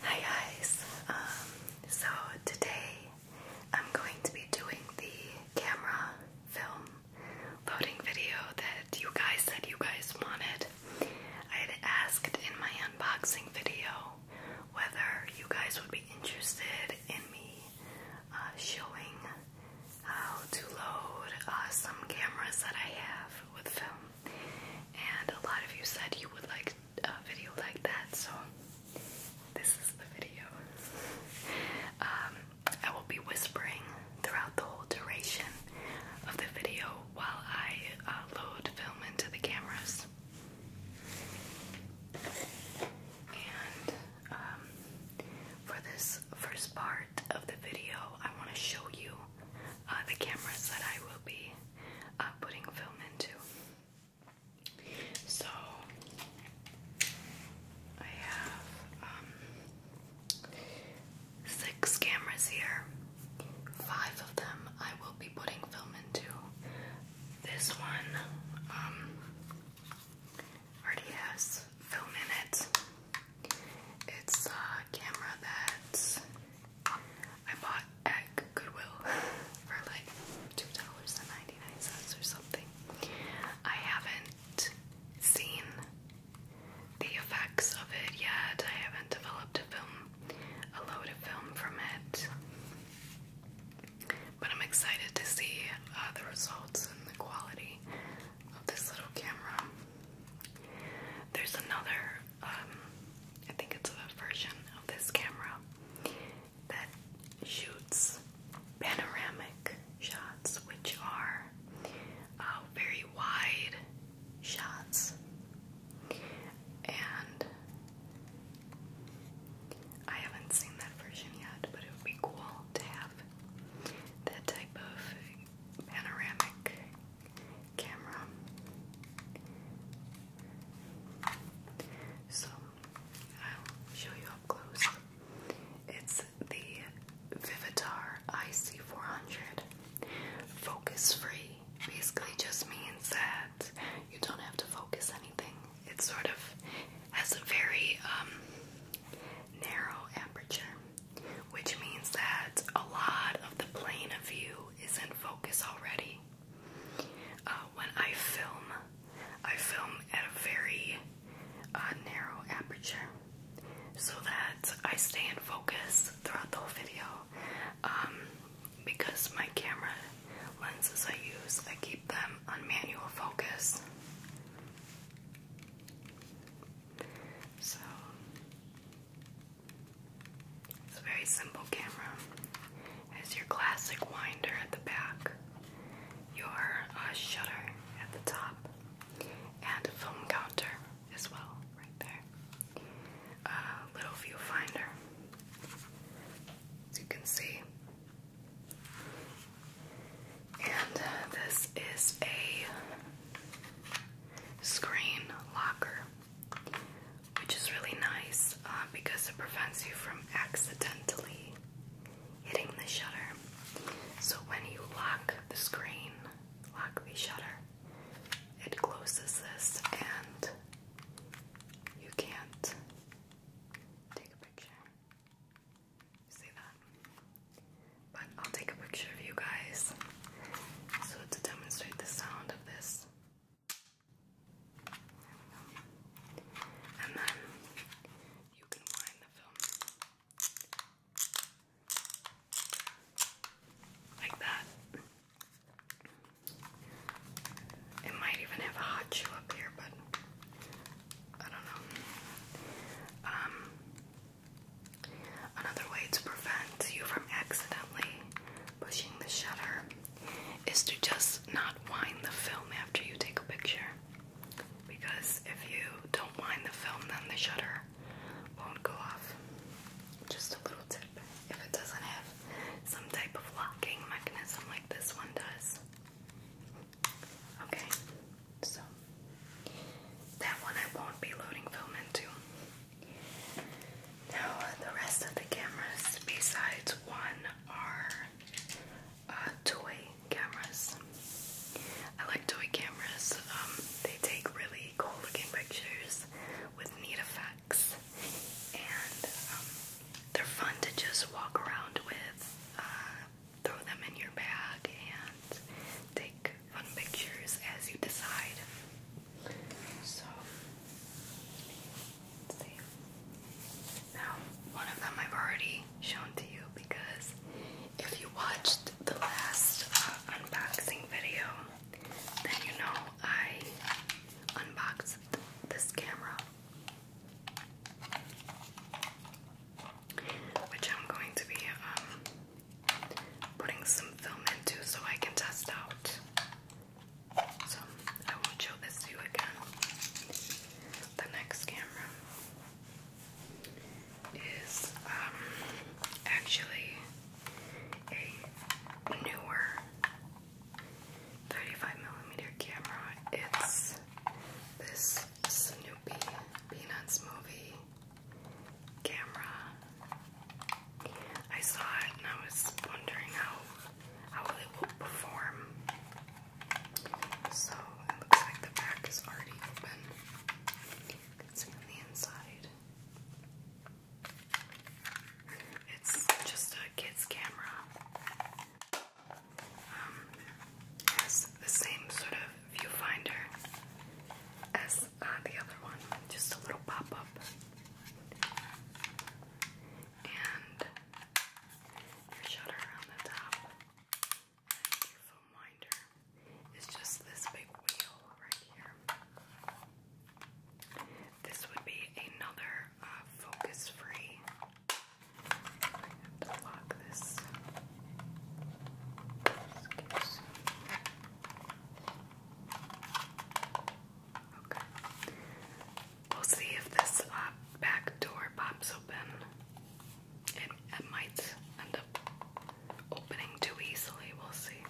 Hi guys, um, so today I'm going to be doing the camera film loading video that you guys said you guys wanted. I had asked in my unboxing video whether you guys would be interested in me uh, showing how to load uh, some cameras that I have with film. And a lot of you said you would like a video like that, so this is the video. Um, I will be whispering throughout the whole duration of the video while I uh, load film into the cameras. And um, for this first part, of the video, I want to show you uh, the cameras that I will be uh, putting film into. So I have um, six cameras here. Five of them I will be putting film into. This one um, already has film in it. It's a camera that I bought at Goodwill for like $2.99 or something. I haven't seen the effects of it yet. I haven't developed a film, a load of film from it. But I'm excited to see uh, the results and the quality of this little camera. There's another, um, I think it's a version of this camera that shoots panoramic shots, which are uh, very wide shots. And I haven't seen that version yet, but it would be cool to have that type of panoramic camera. So I'll show you up close. It's the Vivitar IC400 focus free. Basically, just means that you don't have to focus anything. It sort of has a very um, narrow aperture which means that a lot of the plane of view is in focus already. Uh, when I film, I film at a very uh, narrow aperture so that I stay in focus throughout the whole video. Um, because my camera lenses I use, I keep them on manual focus. So it's a very simple camera. It your classic winder at the back, your uh, shutter at the top, and a film counter as well, right there. A little viewfinder, as you can see. And uh, this is a screen locker, which is really nice uh, because it prevents you from accidentally hitting the shutter. So when you lock the screen, lock the shutter, it closes this and you can't take a picture see that? But I'll take a picture of you guys so to demonstrate the sound of this. And then you can wind the film like that. It might even have a hot shoe up here, but I don't know. Um, Another way to prevent you from accidentally pushing the shutter is to just not wind the film after you take a picture. Because if you don't wind the film, then the shutter won't go off. Just a little tip if it doesn't have some type of locking mechanism like this one does. Okay, so that one I won't be loading film into. Now uh, the rest of the cameras besides one are uh, toy cameras. I like toy cameras. Um, they take really cool looking pictures with neat effects and um, they're fun to just walk around with. Uh, throw them in your bag and take fun pictures as you decide. So, Now, one of them I've already shown to you because if you watched the last uh, unboxing video, then you know I unboxed this camera, which I'm going to be um, putting some film into so I can test out. So I won't show this to you again. The next camera is um, actually a newer 35mm camera. It's this Snoopy Peanuts movie camera. I saw it and I was wondering how how will it will perform. So it looks like the back is already open. You can see the inside. It's just a kid's camera. Um, the same sort of viewfinder as uh, the other one, just a little pop up. And your shutter on the top, and is just this big wheel right here. This would be another uh, focus free. I this. We'll see if this uh, back door pops open. It, might end up opening too easily, we'll see.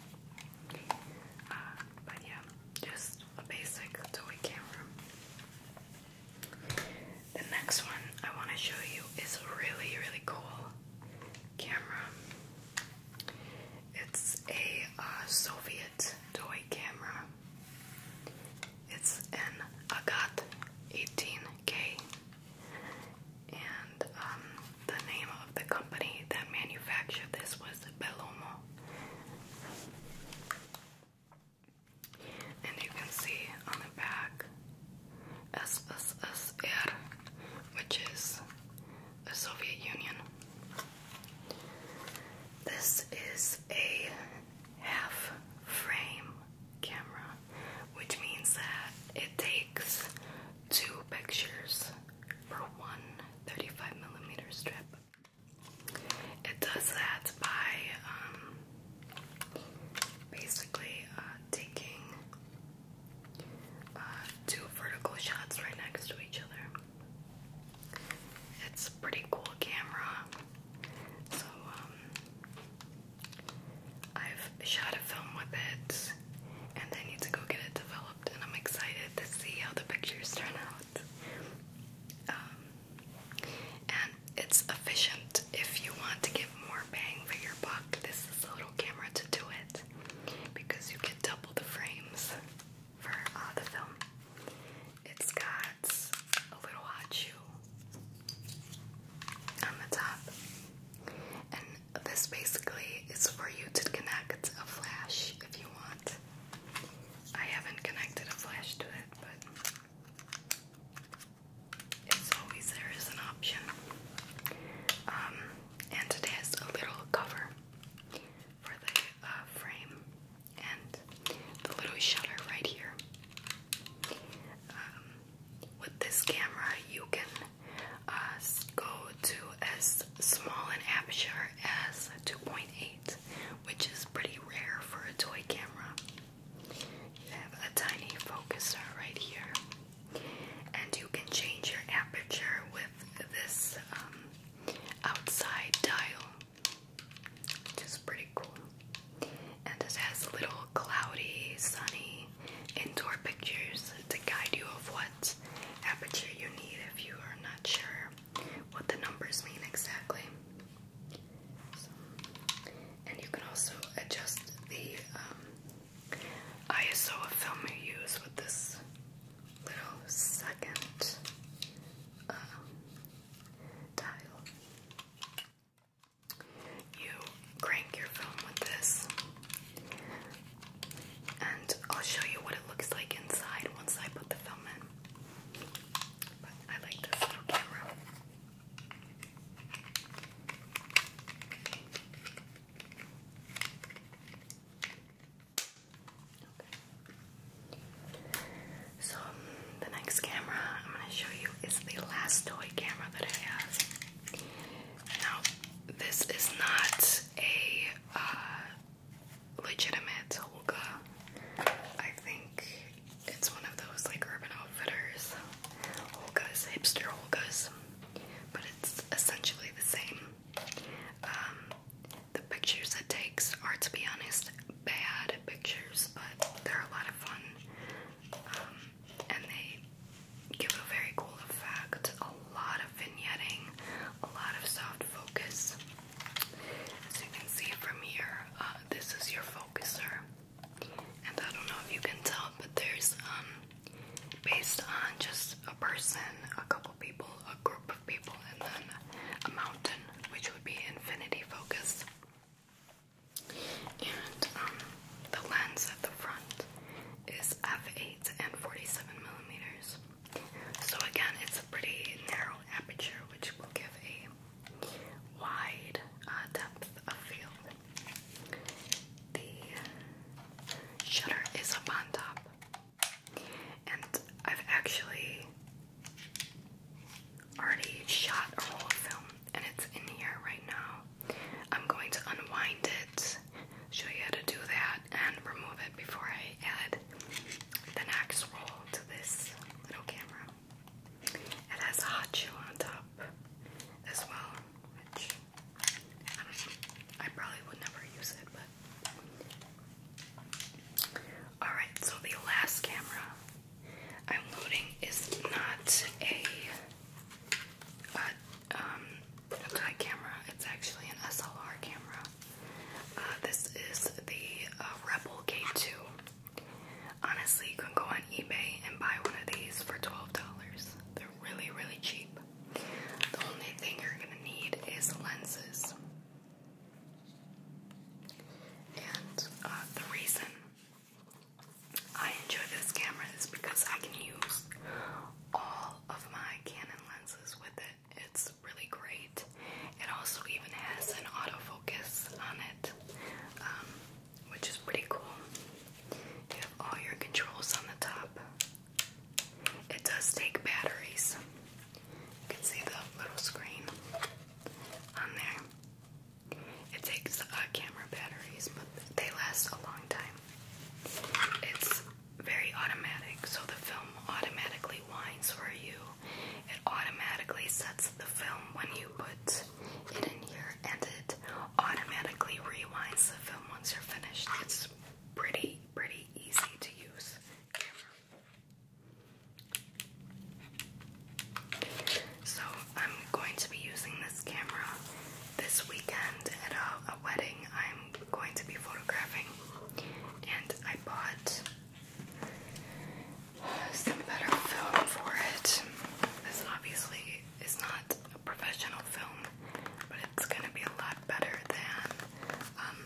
Uh, but yeah, just a basic toy camera. The next one I want to show you is really, really cool camera. It's a uh, Soviet toy camera. It's an Agat 18K, and um, the name of the company that manufactured this was Belomo. And you can see on the back SSSR, which is the Soviet Union. This is a half frame camera, which means that it takes two pictures for one 35 millimeter strip. It does that by um, basically uh, taking uh, two vertical shots right next to each other. It's pretty cool camera. So, um, I've shot a film with it and I need to go get it developed, and I'm excited to see how the pictures turn out. Um, and it's efficient if you want to get more bang for your buck, this is a little camera to do it because you can double the frames for other uh, film. It's got a little hot shoe on the top, and this basically is for you to connect a flash if you want. I haven't connected a flash to it, but it's always there as an option. Um, and it has a little cover for the uh, frame and the little shutter right here. Um, with this camera, you can uh, go to as small an aperture as 2.8, which is pretty rare for a toy camera. You have a tiny focuser right here and you can change your aperture with this um, outside dial, which is pretty cool. And it has little cloudy, sunny, indoor pictures to guide you of what aperture you need if you are not sure what the numbers mean exactly. and you can also adjust the um, ISO of film you use with this little second um, You crank your film with this, and I'll show you what it looks like inside once I put the film in. I like this little camera. So the next camera I'm going to show you is the last toy camera that I have. Now, this is not a uh, legitimate Holga. I think it's one of those like Urban Outfitters Holgas, hipster Holgas but it's essentially the same. Um, the pictures it takes are, to be honest, bad pictures, but they're a lot of fun. Um, and they give a very cool effect, a lot of vignetting, a lot of soft focus. As you can see from here, uh, this is your focuser. And I don't know if you can tell, but there's um, based on just a person, a couple people, a group of people, and then a mountain, which would be infinity focus. And um, the lens at the front is f8 and 47 millimeters. So again, it's a pretty narrow aperture, which will give a wide uh, depth of field. The shutter is up on top. And I've actually already shot a whole film and it's in here right now. I'm going to unwind it, show you how to do that, and remove it before I add the next roll to this little camera. It has a hot shoe on top as well, which I probably would never use it, but. Alright, so the last camera I'm loading is not a, a, um, a camera, it's actually an SLR camera. Uh, this is the uh, Rebel K2. Honestly, you can go on eBay and buy one of these for $12. dollars really, really cheap. The only thing you're gonna need is lenses. And uh, the reason I enjoy this camera is because I can use all of my Canon lenses with it. It's really great. It also even has an autofocus on it. Um, which is pretty cool. You have all your controls on the top. It does take batteries. You can see the little screen on there. It takes uh, camera batteries, but they last a long time. It's very automatic, so the film automatically winds for you. It automatically sets the film when you put in here and it automatically rewinds the film once you're finished. It's pretty, pretty easy to use. So I'm going to be using this camera this weekend at a wedding I'm going to be photographing and I bought some better film for it. This obviously is not a professional film, but it's gonna be a lot better than um,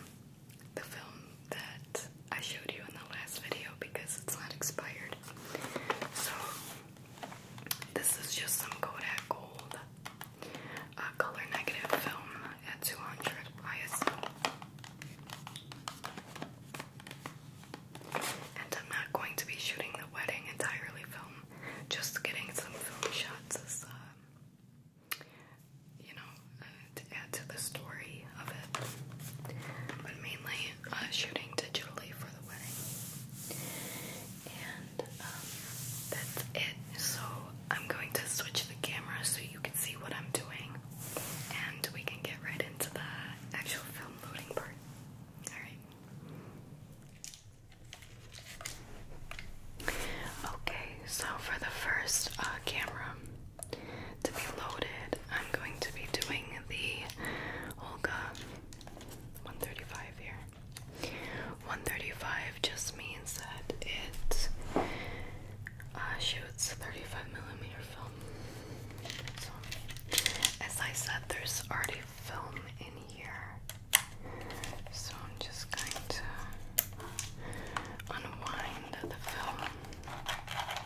the film that I showed you in the last video because it's not expired. So this is just some Kodak Gold uh, color negative film at 200 ISO. And I'm not going to be shooting the wedding entirely film just getting some film shots is, uh, you know, uh, to add to the story of it. But mainly uh, shooting digitally for the wedding. And um, that's it. So I'm going to switch the camera so you can see what I'm doing. And we can get right into the actual film loading part. Alright. Okay, so for the first uh, camera to be loaded, I'm going to be doing the Olga 135 here. 135 just means that it uh, shoots 35 millimeter film. as I said, there's already film in here. So I'm just going to unwind the film. Okay.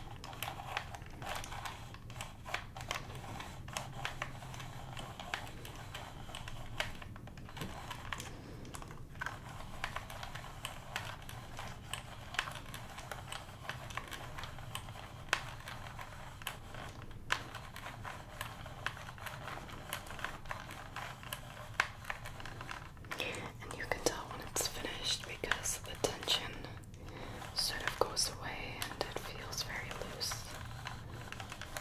And you can tell when it's finished because the tension sort of goes away and it feels very loose.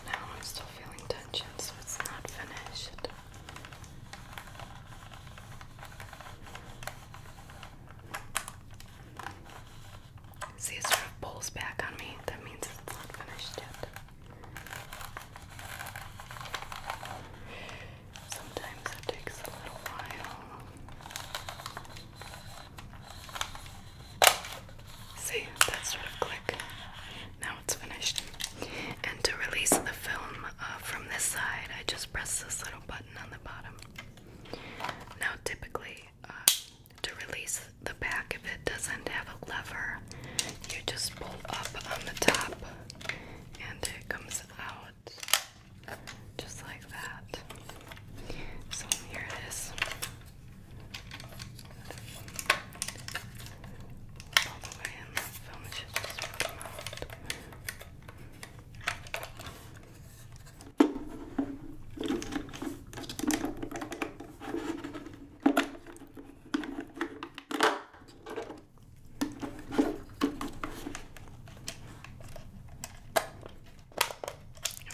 Now I'm still feeling tension, so it's not finished. See, it sort of pulls back on me. That means it's not finished yet. Sometimes it takes a little while. See, that sort of click. Now it's finished. And to release the film uh, from this side, I just press this little button on the bottom. Now, typically, to release the back if it doesn't have a lever. You just pull up on the top and it comes out just like that. So here it is. out. There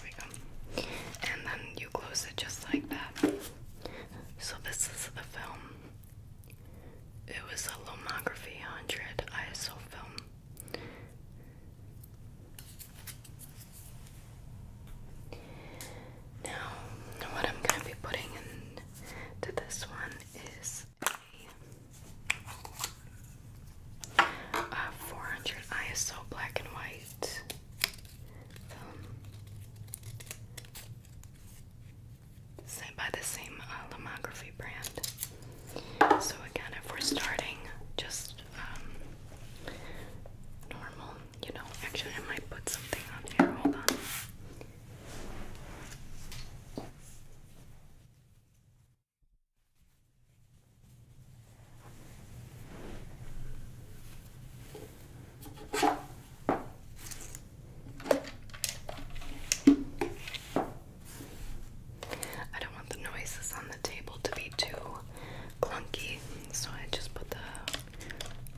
we go. And then you close it just like that. So this is the film. It was a Lomography 100 ISO film. Now, what I'm going to be putting into this one is a, 400 ISO black and white film. Um, Sent by the same uh, brand. So, again, if we're starting just um, normal, you know. Actually, I might put something on here. Hold on. I don't want the noises on the table to be too clunky, so I just put the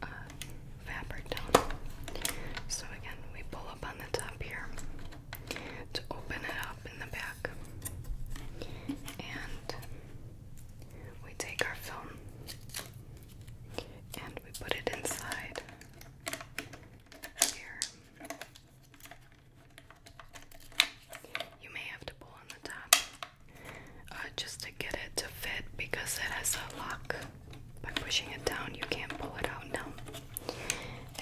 uh, fabric down. So again, we pull up on the top here to open it up in the back, and we take our film and we put it inside here. You may have to pull on the top uh, just to get it to fit because it has a lock. By pushing it down, you can't pull it out now.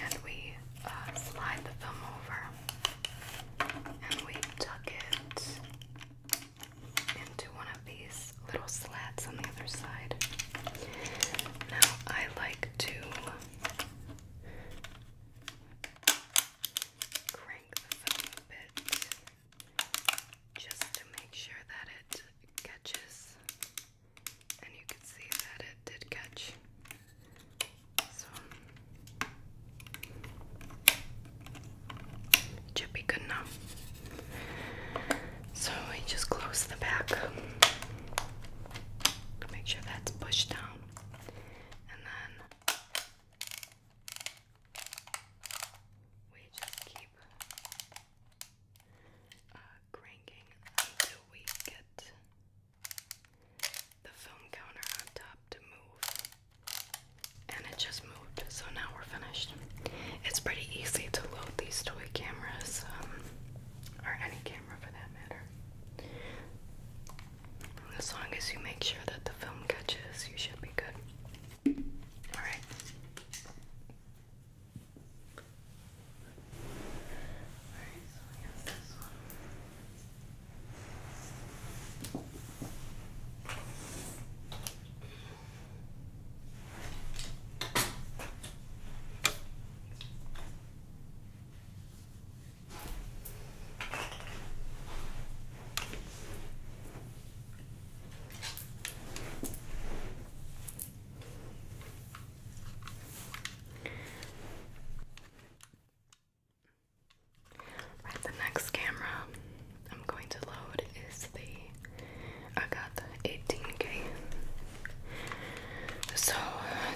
And we uh, slide the film over and we tuck it into one of these little slats on the other side. Now, I like to crank the film a bit just to make sure that it catches. And you can see that it did catch. So it should be good enough. So I just close the back. Make sure that's pushed down. And then we just keep uh, cranking until we get the foam counter on top to move. And it just moved, so now we're finished. It's pretty easy to load these toy cameras, um, or any camera for that matter. As long as you make sure that the film catches, you should be good. Alright the next camera I'm going to load is the I got the 18K. So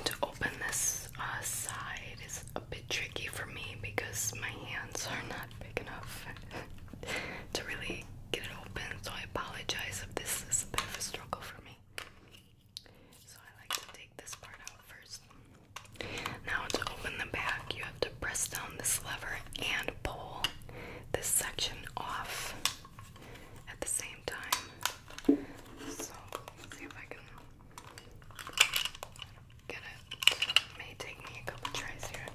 to open this uh, side is a bit tricky for me because my hands are not big enough to really get it open, so I apologize if this is a bit of a struggle for me. So I like to take this part out first. Now to open the back, you have to press down this lever and pull this section off at the same time. So see if I can going may take me a couple tries here.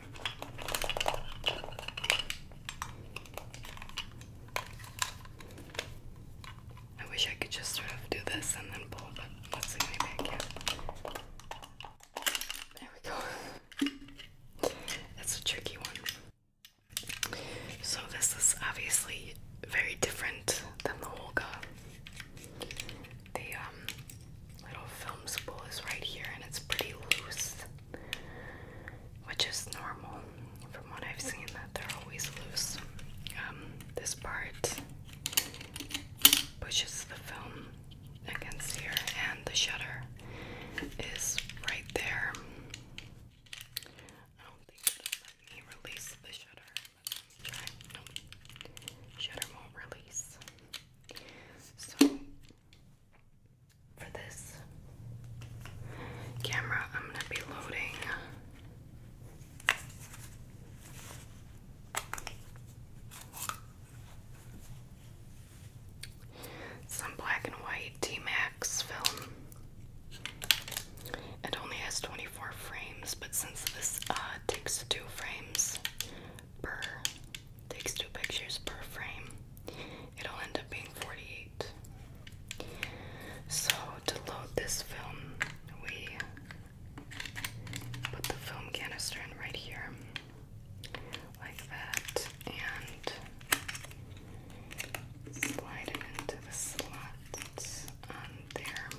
I wish I could just sort of do this and then pull, but let's see maybe I can. There we go. That's a tricky one. So this is obviously very different than the Holga. The um, little film spool is right here and it's pretty loose, which is normal. From what I've seen, that they're always loose. Um, this part pushes the film against here, and the shutter is right there. I don't think it'll let me release the shutter. Shutter release. So for this camera, I'm gonna be loading. Some black and white T Max film. It only has 24 frames, but since this uh, takes two frames, per takes two pictures per frame. It'll end up being 48. So to load this film, we put the film canister in right here, like that, and slide it into the slot there.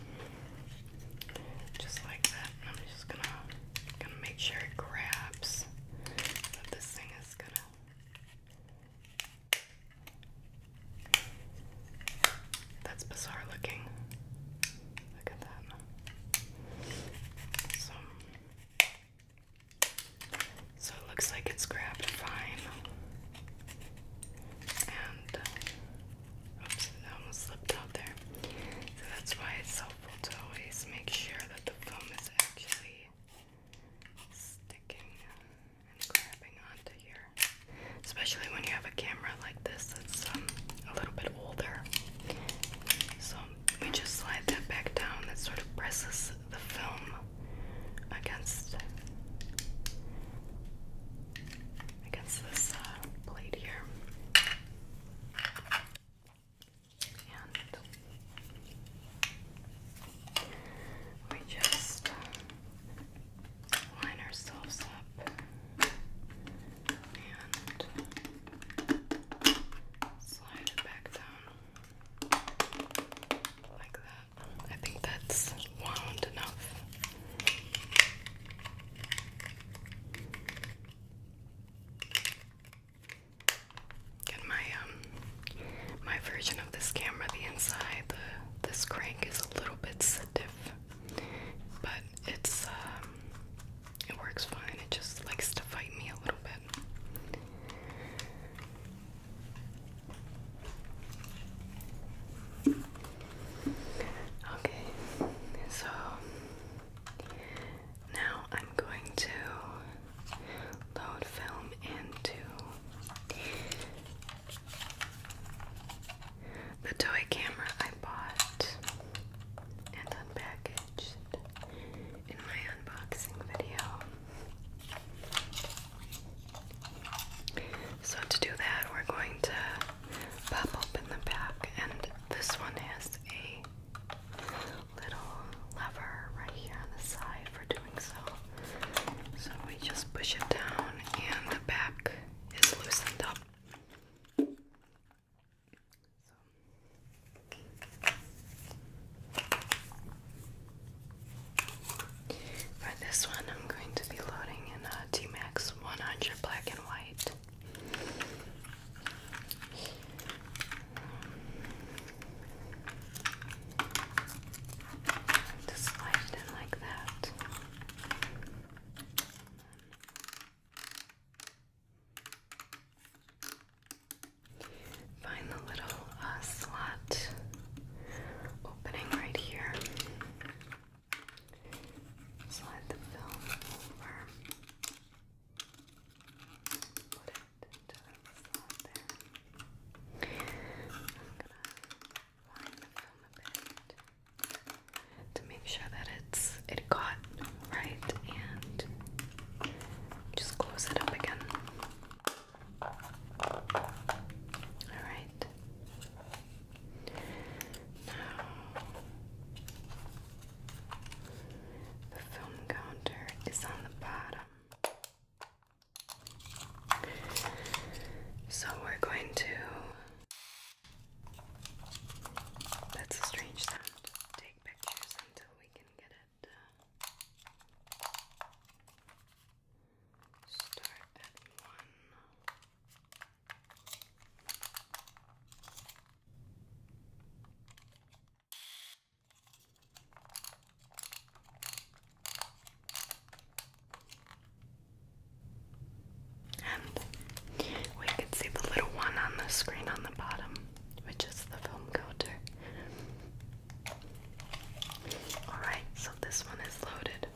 Just like that. I'm just gonna gonna make sure it grabs. But this thing is gonna that's bizarre looking. Look at that. so it looks like it's grabbed fine. And Oops, I almost slipped out there. So that's why it's helpful to always make sure that the film is actually sticking and grabbing onto here. Especially when you have a camera like this that's um, a little bit older. So we just slide that back down. That sort of presses the film against against this uh, blade here. And we just uh, line ourselves up and slide it back down like that. I think that's wound enough. Get my um my version of this camera, the inside, the this crank is a little bit stiff, but it's um it works fine. It just likes to fight me a little bit. Okay, so now I'm going to load film into the toy camera I bought and unpackaged in my unboxing video. So, to do that, we're going to pop open the back, and this one has a little lever right here on the side for doing so. So we just push it down, and the back is loosened up. For this one, I'm going to be loading in a T Max 100 black and white. Just slide it in like that. Find the little uh, slot opening right here. Slide the film over. Put it to the slot there. I'm gonna line the film a bit to make sure that it's it got right and just close it up again. All right. Now, the film counter is on the bottom. So we're going to. That's a strange sound. Take pictures until we can get it. Uh, start at one. And we can see the little one on the screen on the bottom, which is the film coater. Alright, so this one is loaded.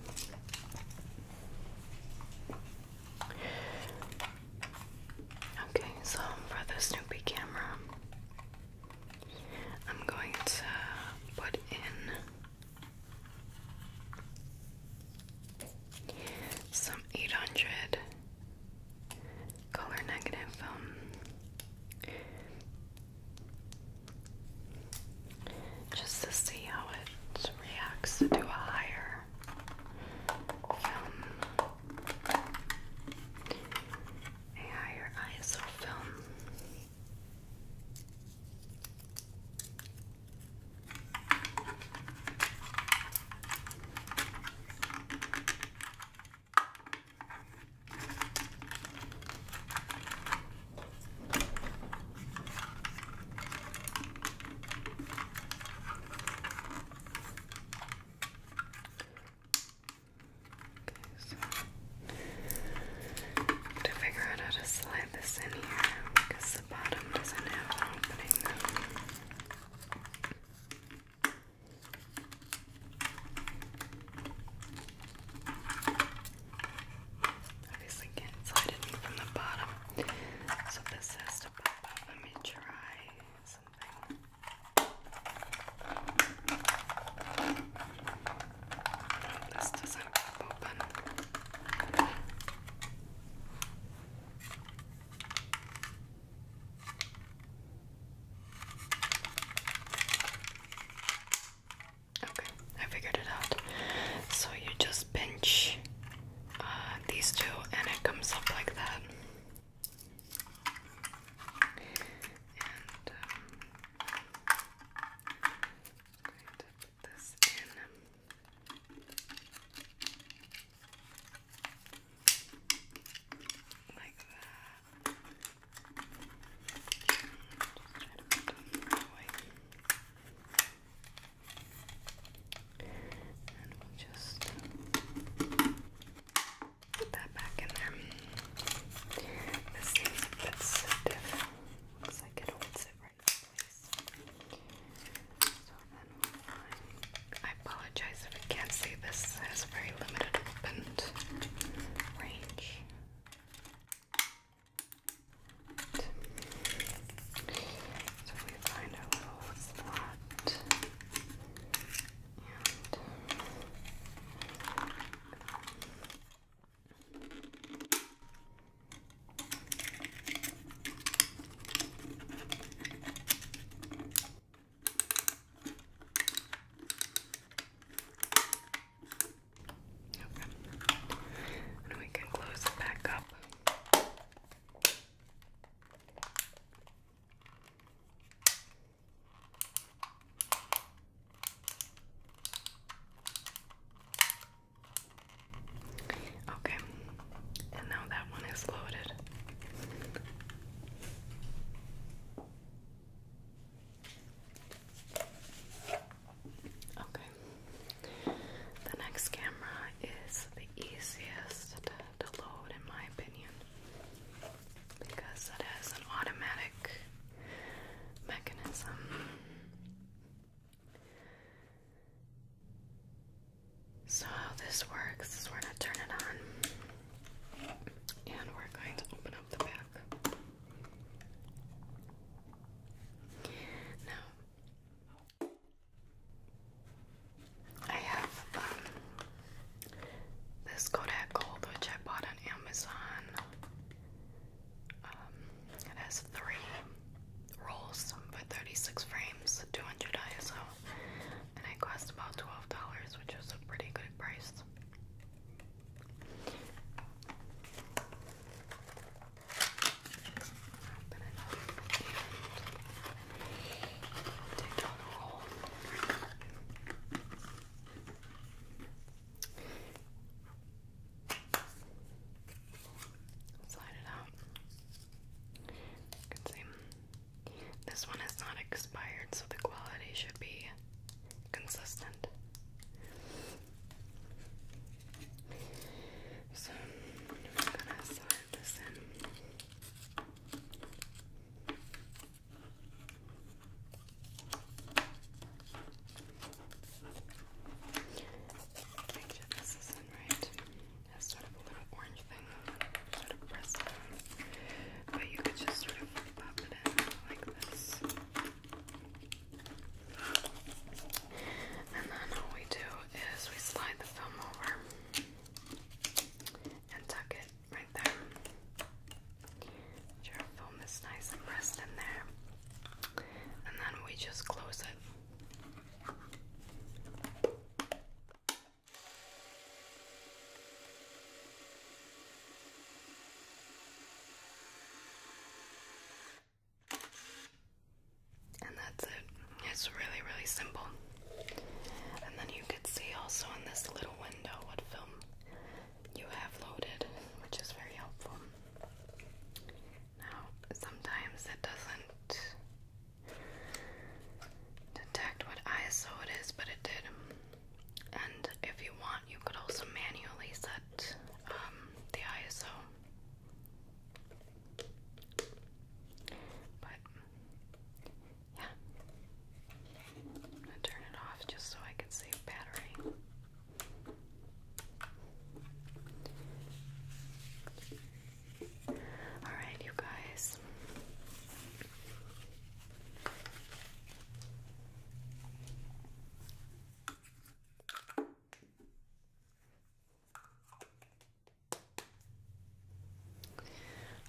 Okay, so for the Snoopy camera, I'm going to put in some 800 color negative film just to see how it reacts to a higher film. A higher ISO film. Okay, so to figure out how to slide this in here because the bottom doesn't have an Obviously, can't slide it from the bottom. So this has let me try something. this doesn't pop open. Okay, I figured it out. So you just pinch these two, and it comes up like that. And um, put this in. Like that. Just try to put them away. And we'll just put that back in there. This seems a bit Looks like it holds it right in So then I apologize if you can't see this has very limited opened range. So we find a little slot um, And we can close it back up. Okay, and now that one is loaded. Okay, the next camera is the easiest to, load, in my opinion, because it has an automatic mechanism. So, how this works is we're going to turn it on and we're going to open up the back. Now, I have um, this Kodak Gold, which I bought on Amazon. Um, it has three rolls for 36 frames, 200 ISO, and it cost about $12, which is a pretty good price. Slide it out. see this one is not expired, so the quality should be consistent. So I'm gonna slide this in. Make sure this is in right. It has sort of a little orange thing sort of pressed down. But you could just sort of pop it in like this. And then all we do is we slide the film over and tuck it right there. Your film is nice and pressed in there. And then we just close it. And that's it. It's really, really simple. And then you could see also in this little window what film you have loaded, which is very helpful. Now, sometimes it doesn't detect what ISO it is, but it did. And if you want, you could also manually set um, the ISO. But yeah. I'm gonna turn it off just so I can save battery. Alright, you guys.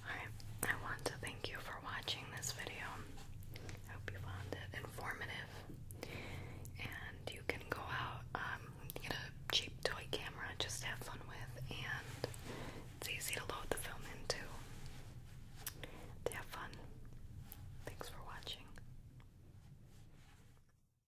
Alright, I want to thank you for watching this video. I hope you found it informative. And you can go out, um, get a cheap toy camera, just have fun with, and it's easy to load the film into. have fun. Thanks for watching.